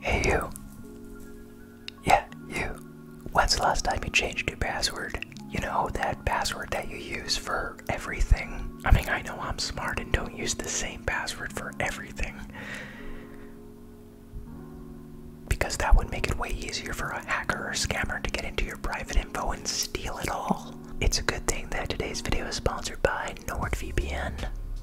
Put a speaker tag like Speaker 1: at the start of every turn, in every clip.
Speaker 1: Hey, you. Yeah, you. When's the last time you changed your password? You know, that password that you use for everything. I mean, I know I'm smart and don't use the same password for everything. Because that would make it way easier for a hacker or scammer to get into your private info and steal it all. It's a good thing that today's video is sponsored by NordVPN.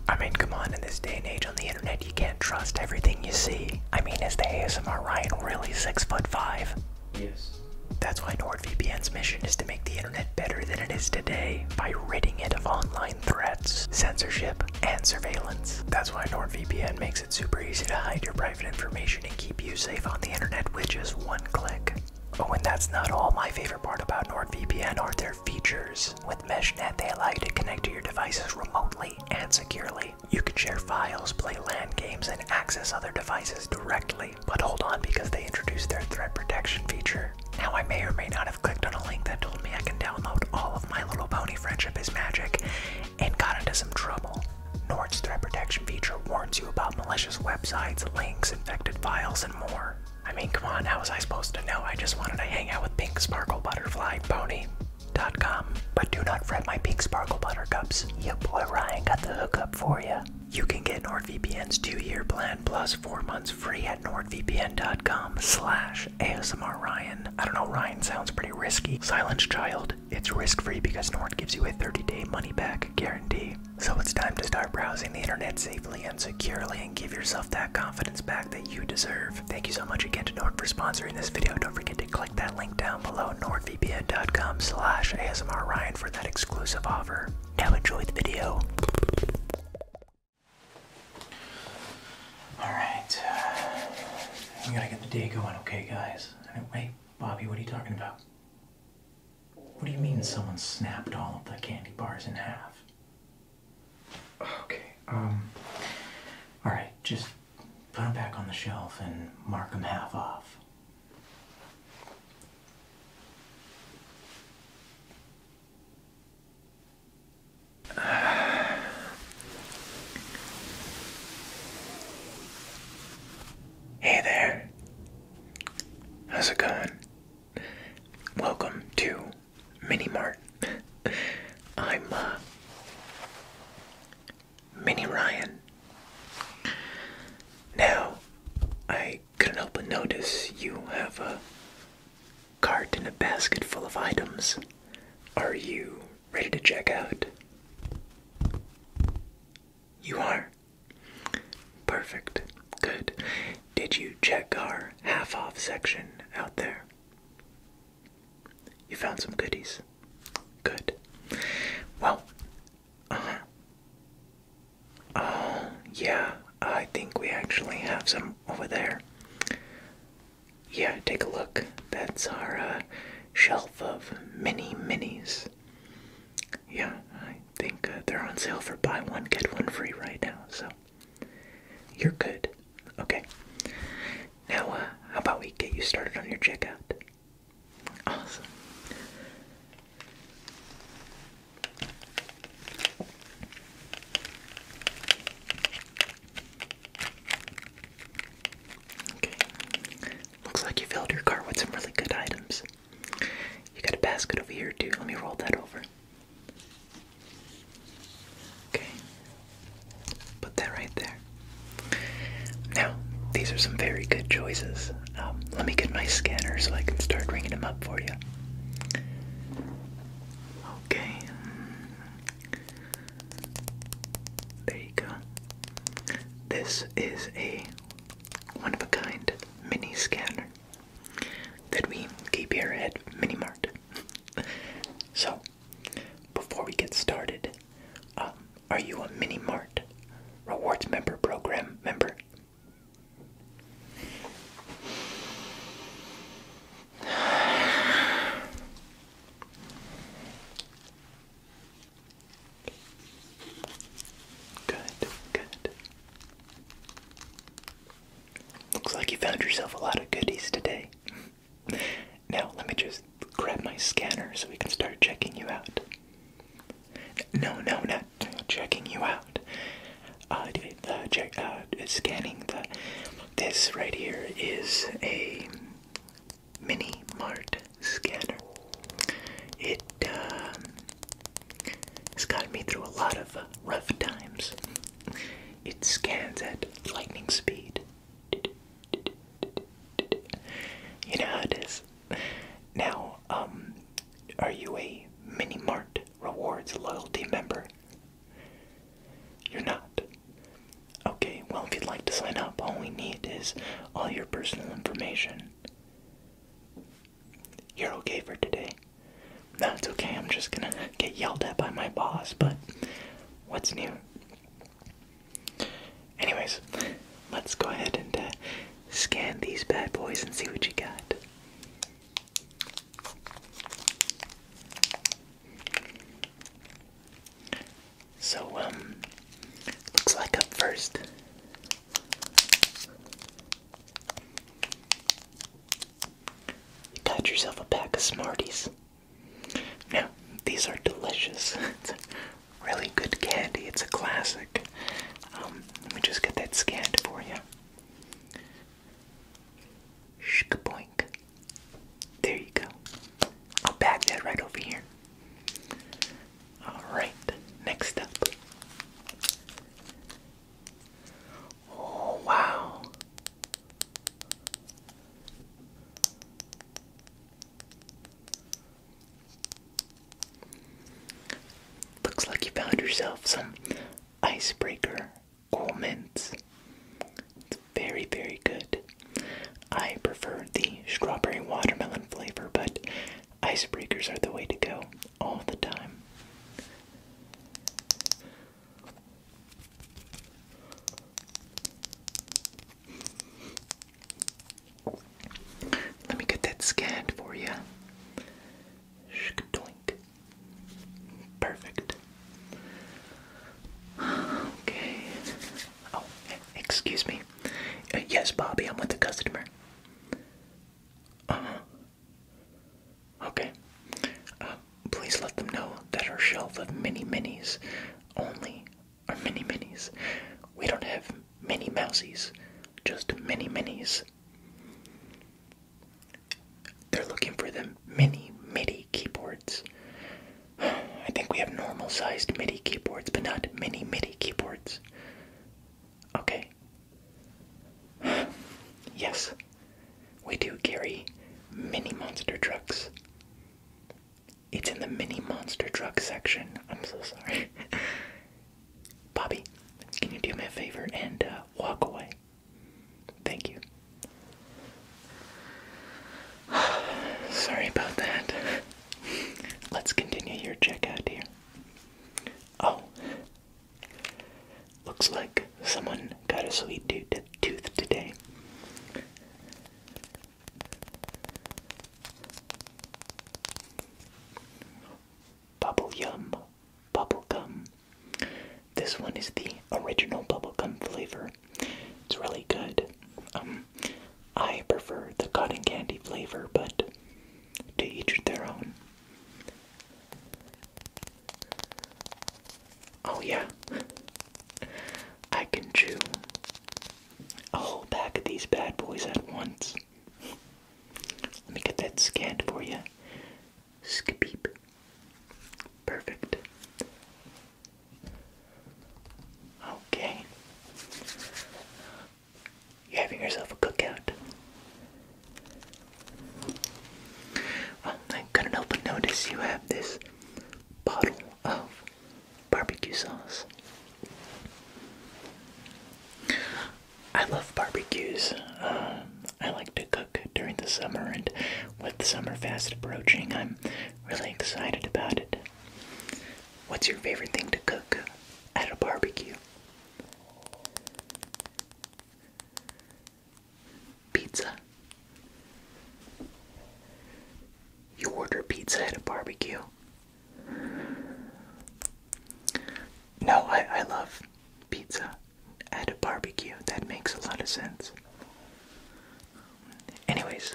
Speaker 1: I mean, come on, in this day and age, on the internet, you can't trust everything you see. I mean, is the ASMR Ryan really six foot five? Yes. That's why NordVPN's mission is to make the internet better than it is today by ridding it of online threats, censorship, and surveillance. That's why NordVPN makes it super easy to hide your private information and keep you safe on the internet with just one click. Oh, and that's not all. My favorite part about NordVPN are their features. With MeshNet, they allow you to connect to your devices remotely and securely. You can share files, play LAN games, and access other devices directly. But hold on because they introduced their threat protection feature. Now, I may or may not have clicked on a link that told me I can download all of My Little Pony Friendship is Magic and got into some trouble. Nord's threat protection feature warns you about malicious websites, links, infected files, and more. I mean, come on, how was I supposed to know? I just wanted to hang out with Pink Sparkle Butterfly Pony.com. But do not fret my Pink Sparkle Butter Cups. boy Ryan got the hookup for you. You can get NordVPN's two-year plan plus four months free at nordvpn.com slash ASMR Ryan. I don't know, Ryan sounds pretty risky. Silence child, it's risk-free because Nord gives you a 30-day money-back guarantee. So it's time to start browsing the internet safely securely and give yourself that confidence back that you deserve. Thank you so much again to Nord for sponsoring this video. Don't forget to click that link down below, nordvpn.com slash ASMR Ryan for that exclusive offer. Now enjoy the video. Alright, we gotta get the day going, okay guys? Wait, Bobby, what are you talking about? What do you mean someone snapped all of the candy bars in half? Okay, um, alright, just put them back on the shelf and mark them half off. Hey there. How's it going? Welcome to Mini Mart. I'm uh, Mini Ryan. Now, I couldn't help but notice you have a cart and a basket full of items. Are you ready to check out? You are? Perfect. Good. Did you check our half off section out there? You found some goodies. Good. Well, uh huh. Uh, yeah, I think we actually have some over there. Yeah, take a look. That's our uh, shelf of mini minis. Yeah, I think uh, they're on sale for buy one, get one free right now, so you're good. Okay. Now, uh, how about we get you started on your checkout? Awesome. Okay. Looks like you filled your cart with some really good items. You got a basket over here too. Let me roll that over. Okay, put that right there. Now, these are some very good choices. Um, let me get my scanner so I can start ringing them up for you. Okay. There you go. This is a one of a kind mini scanner that we keep here at Mini Mart. so, before we get started, um, are you a Mini Mart rewards member program member? Good, good. Looks like you found yourself a lot of goodies today. Now, let me just grab my scanner so we can start checking you out. No, no, not checking you out. Uh, uh check, uh, scanning the. This right here is a mini mart scanner. It um, it's gotten me through a lot of uh, rough times. It scans at lightning speed. You know how it is. Now, um, are you a Mini Mart Rewards loyalty member? You're not. Okay, well, if you'd like to sign up, all we need is all your personal information. You're okay for today. No, it's okay. I'm just gonna get yelled at by my boss, but what's new? Anyways, let's go ahead and uh, scan these bad boys and see what you got. So, um, looks like a first you got yourself a pack of Smarties. Now, these are delicious. it's a really good candy. It's a classic. Um, let me just get that scanned for you. Shkaboink. There you go. I'll bag that right over here. Alright, next up. Oh, wow. Looks like you found yourself some icebreaker cool mints. It's very, very good. I prefer the strawberry watermelon flavor, but Icebreakers are the way to go all the time. Let me get that scanned for you. Perfect. Okay. Oh, excuse me. Uh, yes, Bobby, I'm with the customer. Uh, Okay. Uh, please let them know that our shelf of mini minis only are mini minis. We don't have mini mousies, just mini minis. They're looking for the mini MIDI keyboards. I think we have normal sized MIDI keyboards, but not mini MIDI keyboards. Okay, yes, we do carry mini monster trucks. It's in the mini monster truck section. I'm so sorry. Bobby, can you do me a favor and uh, walk away? Thank you. sorry about that. Let's continue your checkout here. Oh, Looks like someone got a sweet tooth, today. Bubble Yum Bubblegum. This one is the original bubble gum flavor. It's really good. Um, I prefer the cotton candy flavor, but to each their own. Oh, yeah. I can chew a whole pack of these bad boys at once. Let me get that scanned for you. Skipeep. Perfect. Okay. You're having yourself a cookout. I couldn't help but notice you have this bottle of barbecue sauce. I love barbecues. Um, I like to cook during the summer, and with summer fast approaching, I'm really excited about it. What's your favorite thing to cook at a barbecue? Pizza. You order pizza at a barbecue. No, I, I love pizza at a barbecue. That makes a lot of sense. Anyways,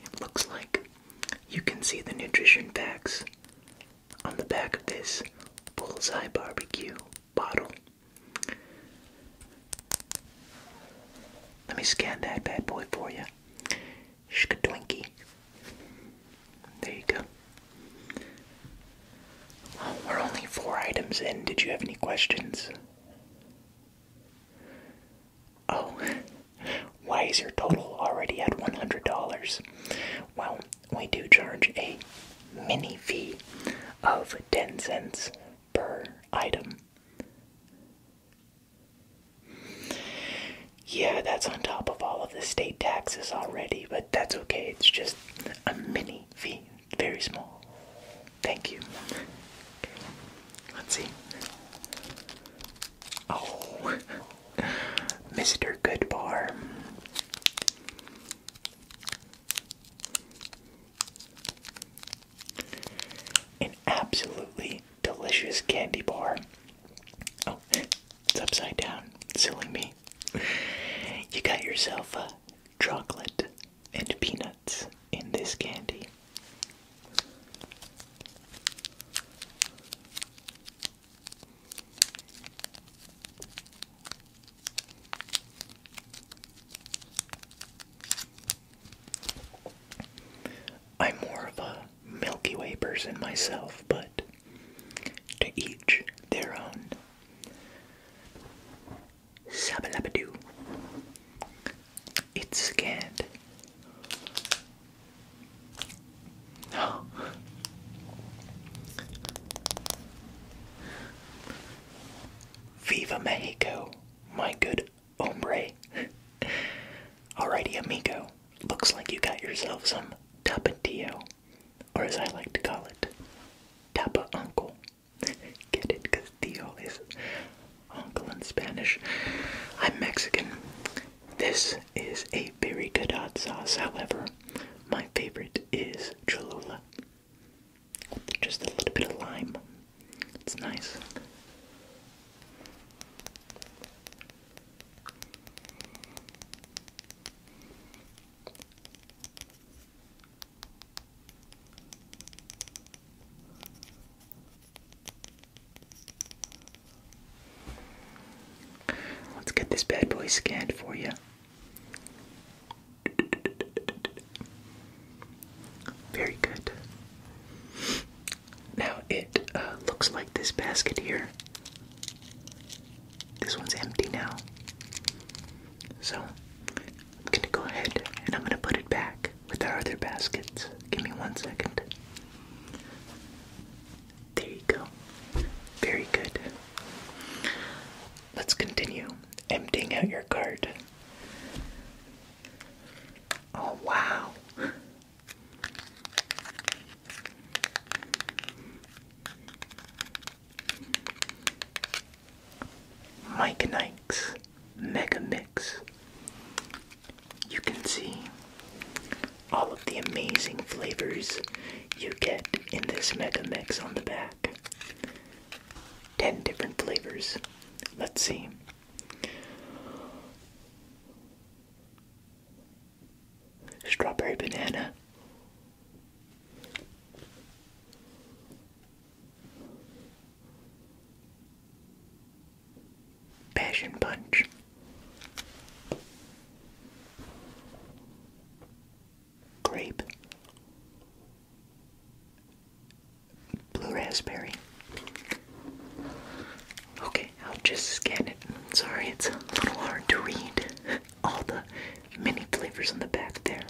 Speaker 1: it looks like you can see the nutrition facts on the back of this bullseye barbecue bottle. Let me scan that bad boy for you. Shkadwinky. There you go. Well, we're only four items in. Did you have any questions? Oh, why is your total already at $100? Well, we do charge a mini fee of 10 cents per item. Yeah, that's on top of all of the state taxes already, but that's okay. It's just a mini fee, very small. Thank you. Let's see. Oh, Mr. Goodbar. An absolutely delicious candy bar. Oh, it's upside down. Silly me. You got yourself a chocolate and peanuts in this candy. I'm more of a Milky Way person myself, but to each their own. Sabalabadoo. It's scanned. Viva Mexico, my good hombre. Alrighty, amigo. Looks like you got yourself some tapatio, or as I like to call it, tapa uncle. Get it, because is uncle in Spanish. I'm Mexican. This is a very good hot sauce, however, my favorite is Cholula. With just a little bit of lime. It's nice. Let's get this bad boy scanned for you. Very good. Now it uh, looks like this basket here. This one's empty now. So I'm going to go ahead and I'm going to put it back with our other baskets. Give me one second. There you go. Very good. Let's continue emptying out your card. Oh, wow. Mike Nikes Mega Mix you can see all of the amazing flavors you get in this Mega Mix on the back. 10 different flavors. Let's see. Strawberry banana. Passion punch. Grape. Blue raspberry. Okay, I'll just scan it. Sorry, it's a little hard to read all the many flavors on the back there.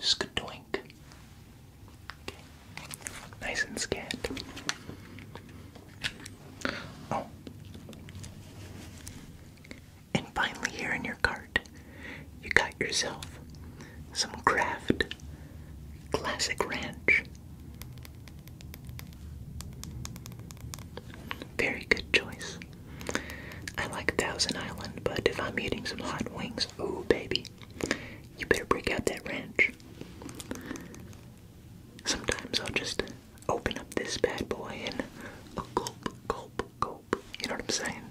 Speaker 1: Skadoink. Okay. Nice and scant. Oh. And finally, here in your cart, you got yourself some Kraft Classic Ranch. Very good choice. I like Thousand Island, but if I'm eating some hot wings, oh baby, you better break out that ranch. Sometimes I'll just open up this bad boy and a gulp, gulp, gulp. You know what I'm saying?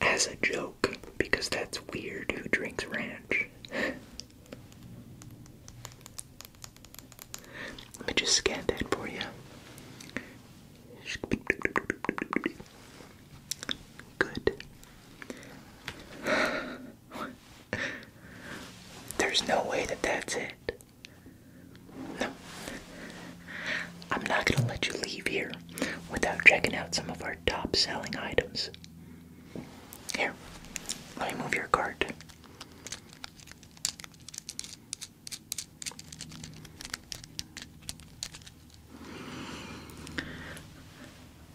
Speaker 1: As a joke, because that's weird who drinks ranch. Let me just scan that for you. Good. There's no way that that's it. No. I'm not going to let you leave here without checking out some of our top selling items. Here, let me move your cart.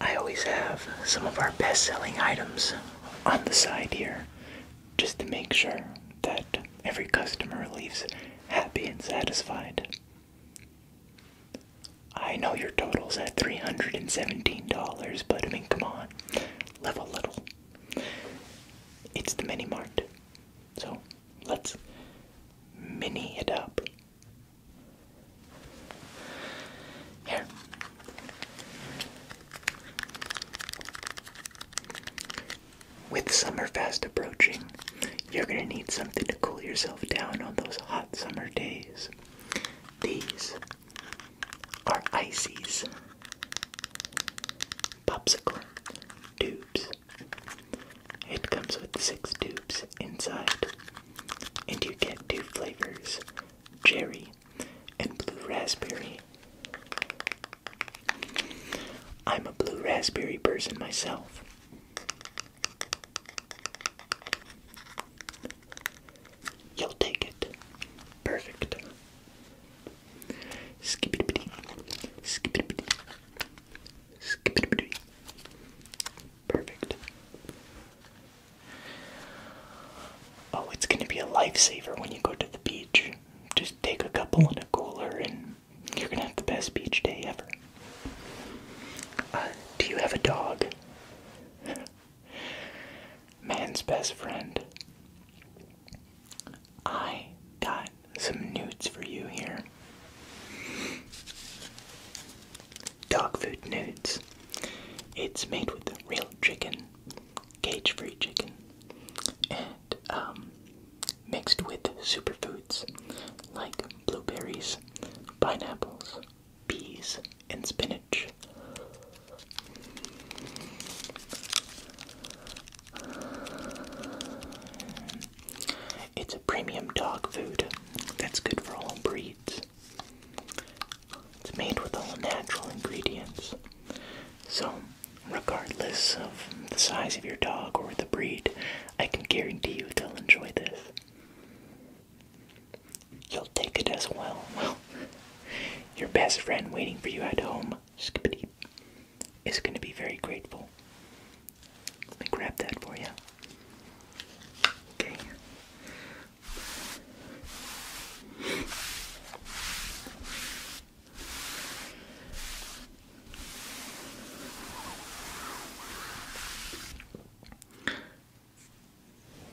Speaker 1: I always have some of our best selling items on the side here just to make sure that every customer leaves happy and satisfied. I know your total's at $317, but I mean, come on, level little. It's the mini mart. So let's mini it up. Here. With summer fast approaching, you're going to need something to cool yourself down on those hot summer days. These are ices. Popsicle tubes. It comes with six tubes inside, and you get two flavors cherry and blue raspberry. I'm a blue raspberry person myself. You'll take it. Perfect. Skippity, skippity, skippity. Perfect. Oh, it's going to be a lifesaver when you go to the beach. Just take a couple in a cooler and you're going to have the best beach day ever. Uh, do you have a dog? Man's best friend. I got some nudes for you here. Dog food nudes. It's made with real chicken, cage free chicken, and um, mixed with superfoods like blueberries, pineapples, peas, and spinach. It's a premium dog food that's good for all breeds. It's made with all natural ingredients. So, regardless of the size of your dog or the breed, I can guarantee you they'll enjoy this. You'll take it as Well, your best friend waiting for you at home Skippy is going to be very grateful. Let me grab that for you. Okay.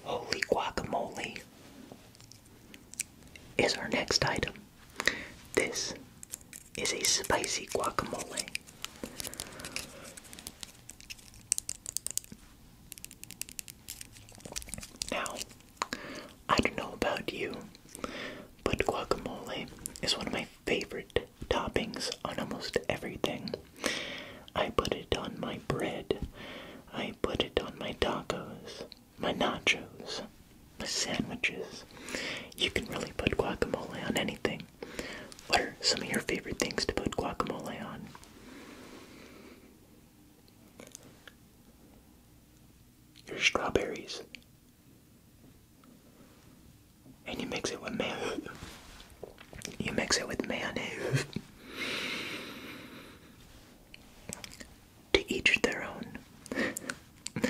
Speaker 1: Holy guacamole is our next item. This is a spicy guacamole. Now, I don't know about you, but guacamole is one of my favorite toppings on almost everything. I put it on my bread, I put it on my tacos, my nachos, my sandwiches. You can really put guacamole on anything. What are some of your favorite things to put guacamole on? Your strawberries. And you mix it with mayonnaise. You mix it with mayonnaise to each their own.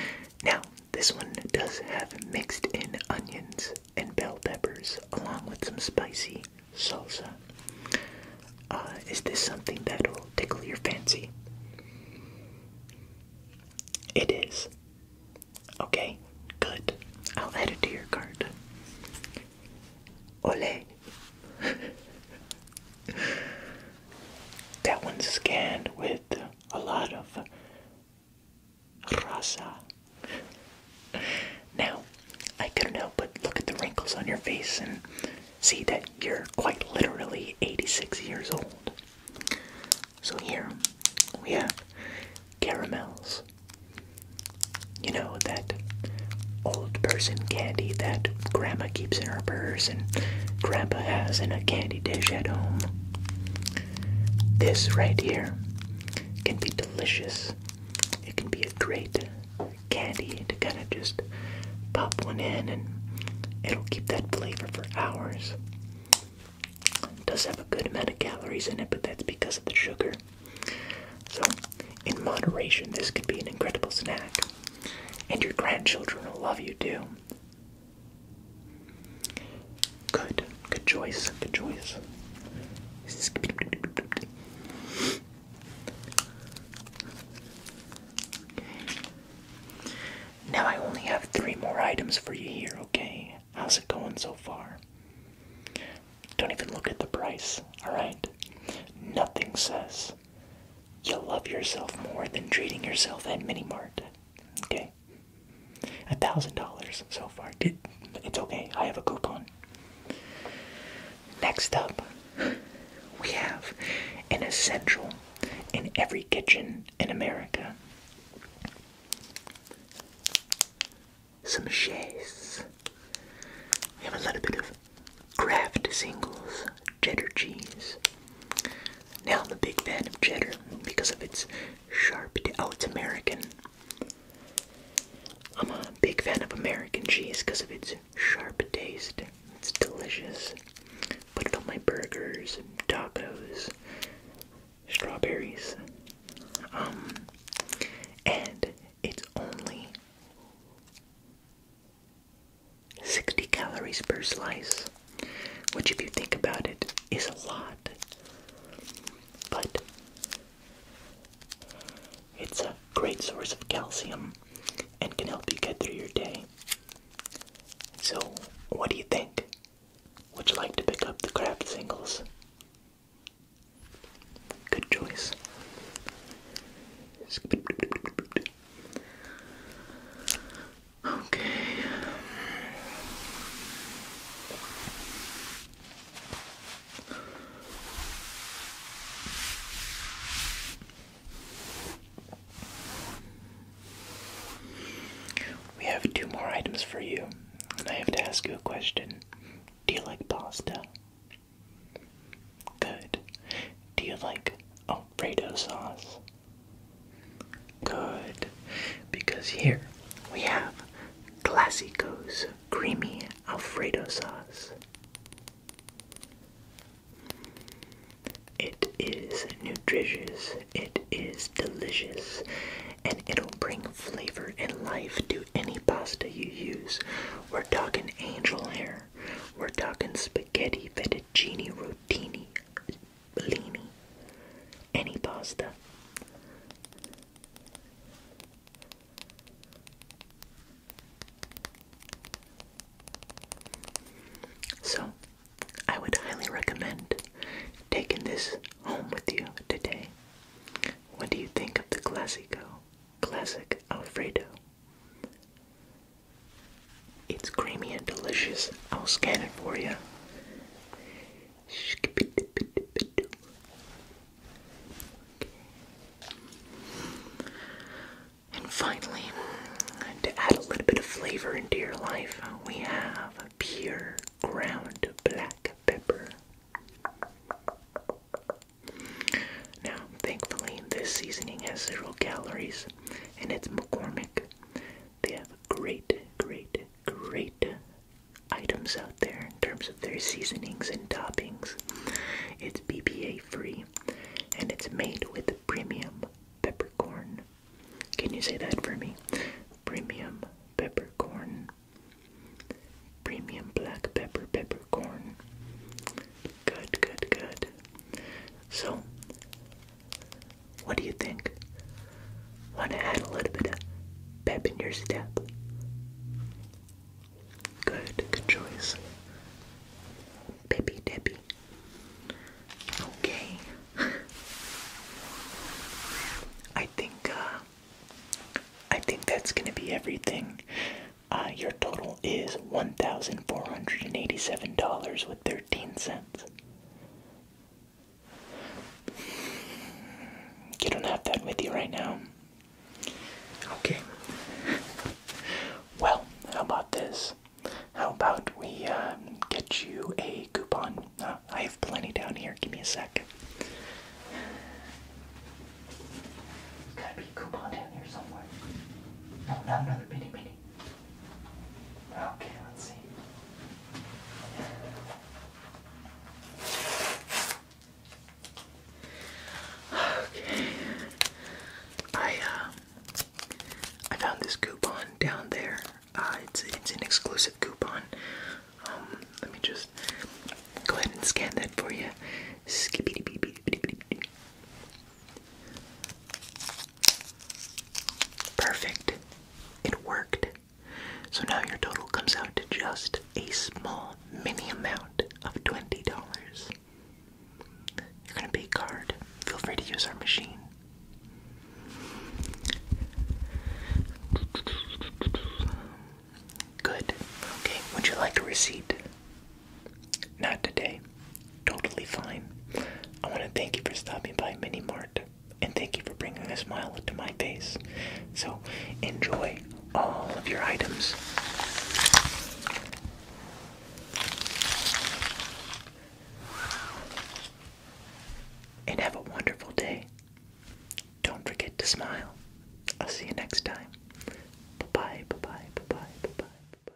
Speaker 1: now, this one does have mixed in onions and bell peppers along with some spicy salsa. Uh, is this something that'll tickle your fancy? It is. Okay, good. I'll add it to your cart. Ole that one's scanned with a lot of rasa. Now, I couldn't help but look at the wrinkles on your face and see that you're quite literally 86 years old. So here we have caramels. You know, that old person candy that grandma keeps in her purse and grandpa has in a candy dish at home. This right here can be delicious. It can be a great candy to kind of just pop one in and it'll keep that flavor for hours. It does have a good amount of calories in it, but that's because of the sugar. So, in moderation, this could be an incredible snack. And your grandchildren will love you too. Good. Good choice. Good choice. Now I only have three more items for you here, okay? How's it going so far? Don't even look at the price, alright? Nothing says You'll love yourself more than treating yourself at Mini Mart. Okay? A thousand dollars so far. it's okay, I have a coupon. Next up, we have an essential in every kitchen in America. Some chaise. We have a little bit of Kraft Singles cheddar cheese. Now I'm a big fan of cheddar because of its sharp. Oh, it's American. I'm a big fan of American cheese because of its sharp taste. It's delicious. Put it on my burgers and tacos, strawberries. Um, and it's only 60 calories per slice, which, if you think about it, is a lot. But it's a great source of calcium and can help you get through your day. So, what do you think? Would you like to pick up the craft singles? Good choice. Okay. We have two more items for you, and I have to ask you a question. Do you like pasta? Good. Do you like Alfredo sauce? Good. Because here we have Classico's creamy Alfredo sauce. It is nutritious, it is delicious, and it'll bring flavor and life to any pasta you use. We're talking angel hair. We're talking spaghetti, fettuccine, rotini, bellini, any pasta. So, I would highly recommend taking this home with you today. What do you think of the Classico Classic Alfredo? It's creamy and delicious. I'll scan it for you. And finally, to add a little bit of flavor into your life, we have pure ground black pepper. Now, thankfully, this seasoning has zero calories and it's McCormick. They have great, great, great items out there in terms of their seasonings and toppings. It's BPA free and it's made with premium peppercorn. Can you say that for me? Premium peppercorn. Premium black pepper peppercorn. Good, good, good. So, what do you think? Want to add a little bit of pep in your step? Good, good choice. Peppy Debbie. Okay. I think, uh, I think that's gonna be everything. Uh, your total is $1,487 with 13 cents. You don't have that with you right now. Okay. Well, how about this? How about we um, get you a coupon? Uh, I have plenty down here. Give me a sec. There's gotta be a coupon down here somewhere. No, not another bitty bitty. Okay, let's see. Okay. I uh, I found this coupon down there. Uh, it's it's an exclusive coupon. Um, let me just go ahead and scan that for you. Skippity bee bee bee bee Perfect. It worked. So now your total comes out to just a small mini amount of $20. You're going to pay card. Feel free to use our machine. Good. Okay, would you like a receipt? Not today. Totally fine. I want to thank you for stopping by Mini Mart and thank you for bringing a smile to my face. So enjoy all of your items. And have a wonderful day. Don't forget to smile. I'll see you next time. Bye bye, bye bye, bye bye, bye bye.